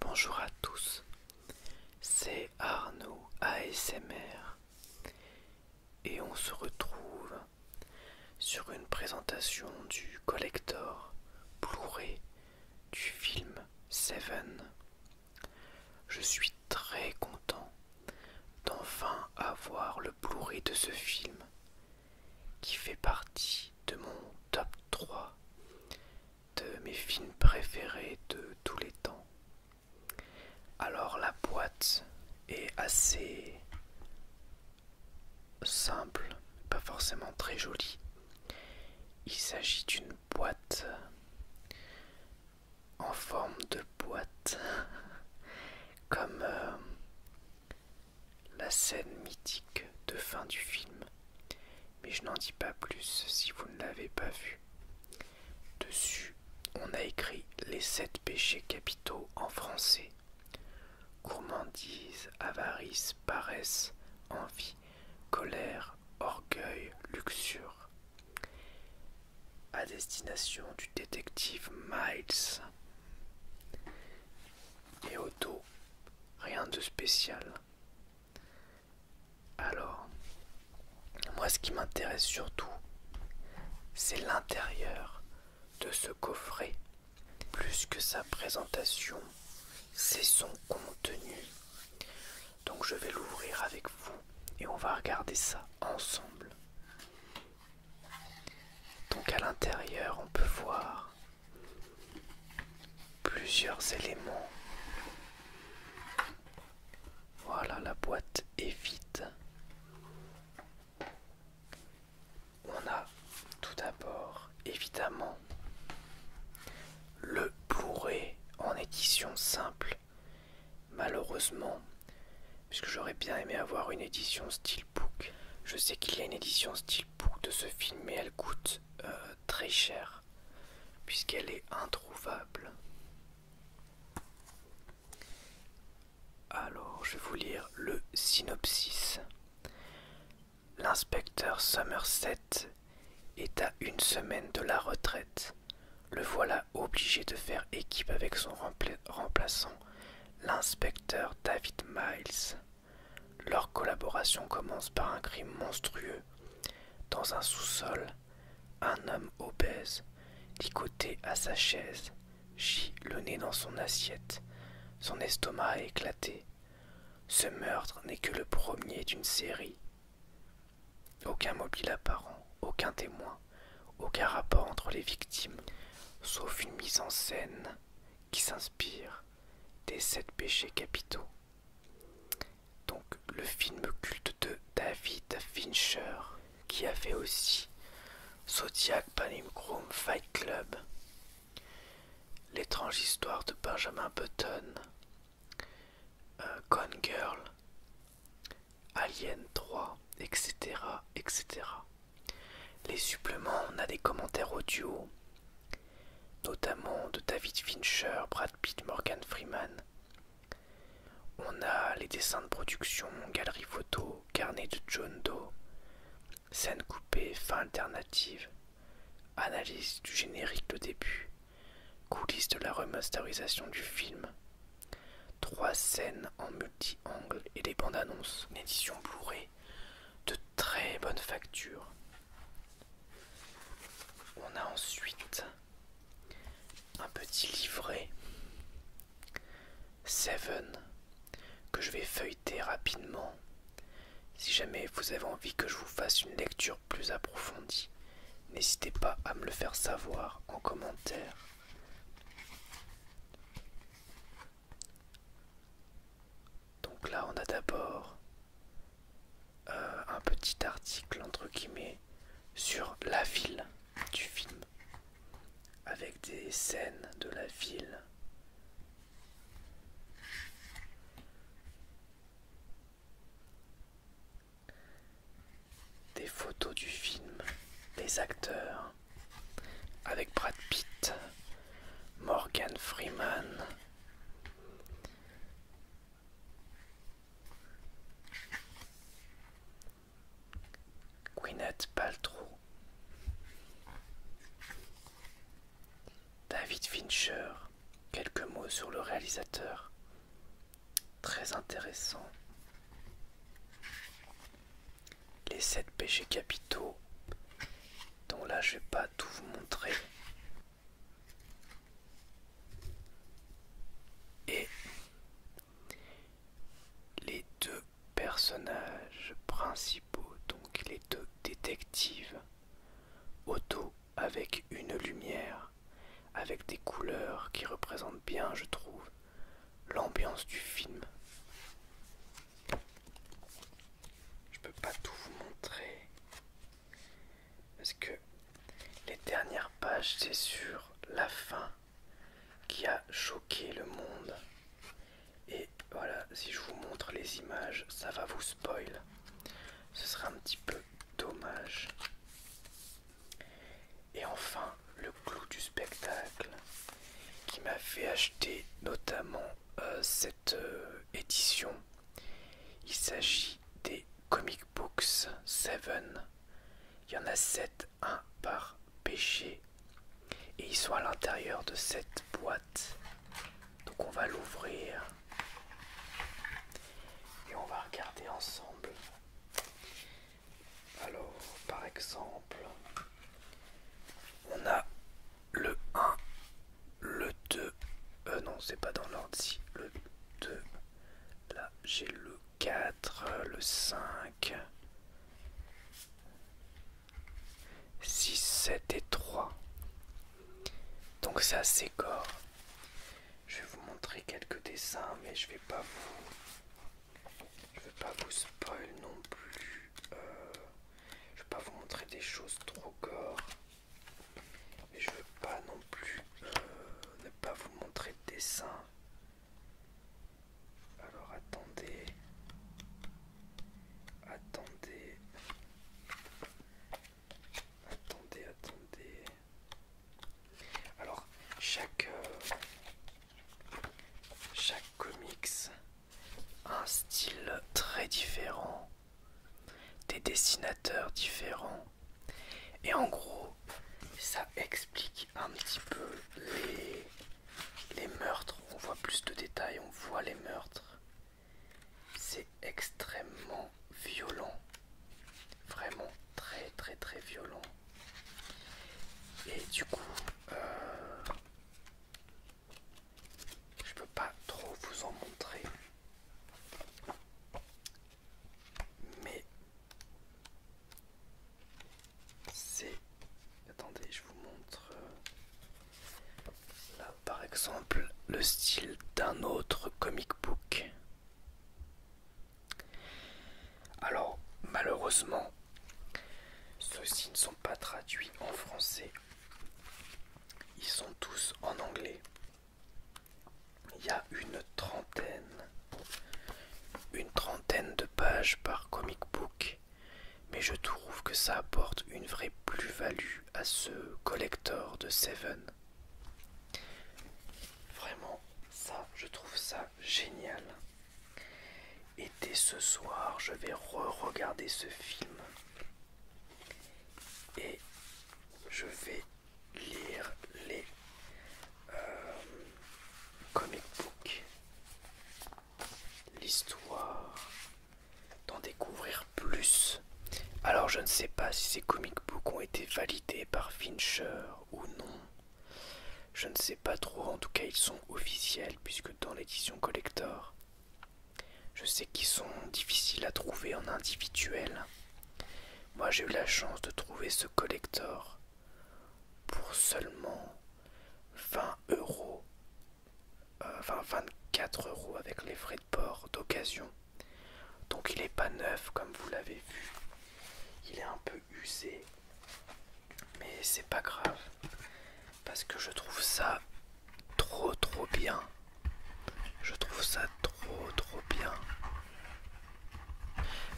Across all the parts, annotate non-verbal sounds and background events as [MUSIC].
Bonjour à tous, c'est Arnaud ASMR et on se retrouve sur une présentation du collector blu du film Seven. Je suis très content d'enfin avoir le Blu-ray de ce film qui fait partie de mon top 3 de mes films préférés de tous les temps. Alors la boîte est assez simple, pas forcément très jolie. Il s'agit d'une boîte en forme de boîte, [LAUGHS] comme euh, la scène mythique de fin du film. Mais je n'en dis pas plus si vous ne l'avez pas vu. Dessus, on a écrit les sept péchés capitaux en français. Gourmandise, avarice, paresse, envie, colère, orgueil, luxure, à destination du détective Miles. Et Otto, rien de spécial. Alors, moi ce qui m'intéresse surtout, c'est l'intérieur de ce coffret. Plus que sa présentation, c'est son contenu. Donc je vais l'ouvrir avec vous et on va regarder ça ensemble. Donc à l'intérieur, on peut voir plusieurs éléments. Voilà, la boîte est vide. On a tout d'abord évidemment le bourré en édition simple. Malheureusement, puisque j'aurais bien aimé avoir une édition Steelbook. Je sais qu'il y a une édition Steelbook de ce film, mais elle coûte euh, très cher, puisqu'elle est introuvable. Alors, je vais vous lire le synopsis. L'inspecteur Somerset est à une semaine de la retraite. Le voilà obligé de faire équipe avec son remplaçant, l'inspecteur David Miles. Leur collaboration commence par un crime monstrueux. Dans un sous-sol, un homme obèse, licoté à sa chaise, gît le nez dans son assiette. Son estomac a éclaté, ce meurtre n'est que le premier d'une série. Aucun mobile apparent, aucun témoin, aucun rapport entre les victimes, sauf une mise en scène qui s'inspire des sept péchés capitaux. Donc le film culte de David Fincher, qui a fait aussi Zodiac, Panim Fight Club, L'étrange histoire de Benjamin Button, euh, Gone Girl, Alien 3, etc. etc. Les suppléments, on a des commentaires audio, notamment de David Fincher, Brad Pitt, Morgan Freeman. On a les dessins de production, galerie photo, carnet de John Doe, scène coupée, fin alternative analyse du générique de début, coulisses de la remasterisation du film, trois scènes en multi-angle et des bandes annonces, une édition Blu-ray de très bonne facture. On a ensuite un petit livret Seven que je vais feuilleter rapidement si jamais vous avez envie que je vous fasse une lecture plus approfondie, n'hésitez pas à me le faire savoir en commentaire. Donc là, on a d'abord euh, un petit article entre guillemets sur la ville du film, avec des scènes de la ville, des photos du film, des acteurs, avec Brad Pitt, Morgan Freeman. Gwyneth Paltrow David Fincher, quelques mots sur le réalisateur. Très intéressant. Les 7 péchés capitaux, dont là je vais pas tout vous montrer. Et les deux personnages principaux, donc les deux détectives. auto avec une lumière, avec des couleurs qui représentent bien, je trouve, l'ambiance du film. Je peux pas tout vous montrer parce que les dernières pages, c'est sur la fin qui a choqué le monde. Et voilà, si je vous montre les images, ça va vous spoil. Ce sera un petit peu dommage. Et enfin, le clou du spectacle qui m'a fait acheter notamment euh, cette euh, édition. Il s'agit des Comic Books 7. Il y en a 7, 1 par péché et ils sont à l'intérieur de cette boîte. Donc on va l'ouvrir et on va regarder ensemble. Alors par exemple, on a le 1, le 2, euh, non c'est pas dans l'ordre ici, le 2, là j'ai le 4, le 5. 6, 7 et 3. Donc c'est assez gore. Je vais vous montrer quelques dessins, mais je vais pas vous, je vais pas vous spoil non plus. Je euh, je vais pas vous montrer des choses trop gore, mais je veux pas non plus euh, ne pas vous montrer de dessins alors attendez. Attendez. Attendez, attendez. Alors, chaque euh, chaque comics a un style très différent, des dessinateurs différents. Et en gros, ça explique un petit peu les les meurtres, on voit plus de détails, on voit les meurtres. C'est extrêmement violent. Vraiment très très très violent. Et du coup, euh, je peux pas trop vous en montrer. Mais c'est attendez je vous montre euh, là par exemple le style d'un autre comic book alors malheureusement ceux-ci ne sont pas traduits en français ils sont tous en anglais il y a une trentaine une trentaine de pages par comic book, mais je trouve que ça apporte une vraie plus-value à ce collector de Seven. Vraiment, ça, je trouve ça génial. Et dès ce soir, je vais re-regarder ce film. Et je vais lire les euh, comic book, l'histoire, d'en découvrir plus. Alors je ne sais pas si ces comic books ont été validés par Fincher ou non. Je ne sais pas trop, en tout cas ils sont officiels puisque dans l'édition collector, je sais qu'ils sont difficiles à trouver en individuel. Moi j'ai eu la chance de trouver ce collector pour seulement 20 euros, enfin euh, 24 euros avec les frais de port d'occasion. Donc il n'est pas neuf comme vous l'avez vu, il est un peu usé, mais c'est pas grave parce que je trouve ça trop trop bien. Je trouve ça trop trop bien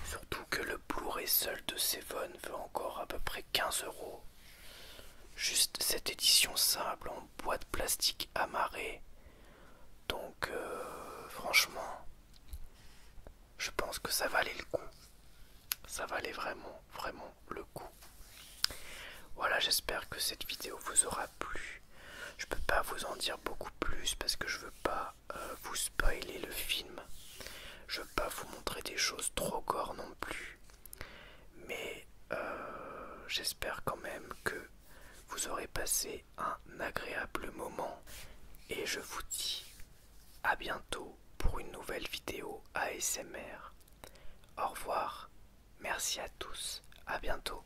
Surtout que le Blu-ray seul de Seven veut encore à peu près 15 euros. Juste cette édition simple en boîte plastique amarrée. Donc euh, franchement, je pense que ça valait le coup. Ça valait vraiment, vraiment le coup. Voilà, j'espère que cette vidéo vous aura plu. Je ne peux pas vous en dire beaucoup plus parce que je veux pas euh, vous spoiler le film, je veux pas vous montrer des choses trop corps non plus, mais euh, j'espère quand même que vous aurez passé un agréable moment et je vous dis à bientôt pour une nouvelle vidéo ASMR. Au revoir, merci à tous, à bientôt.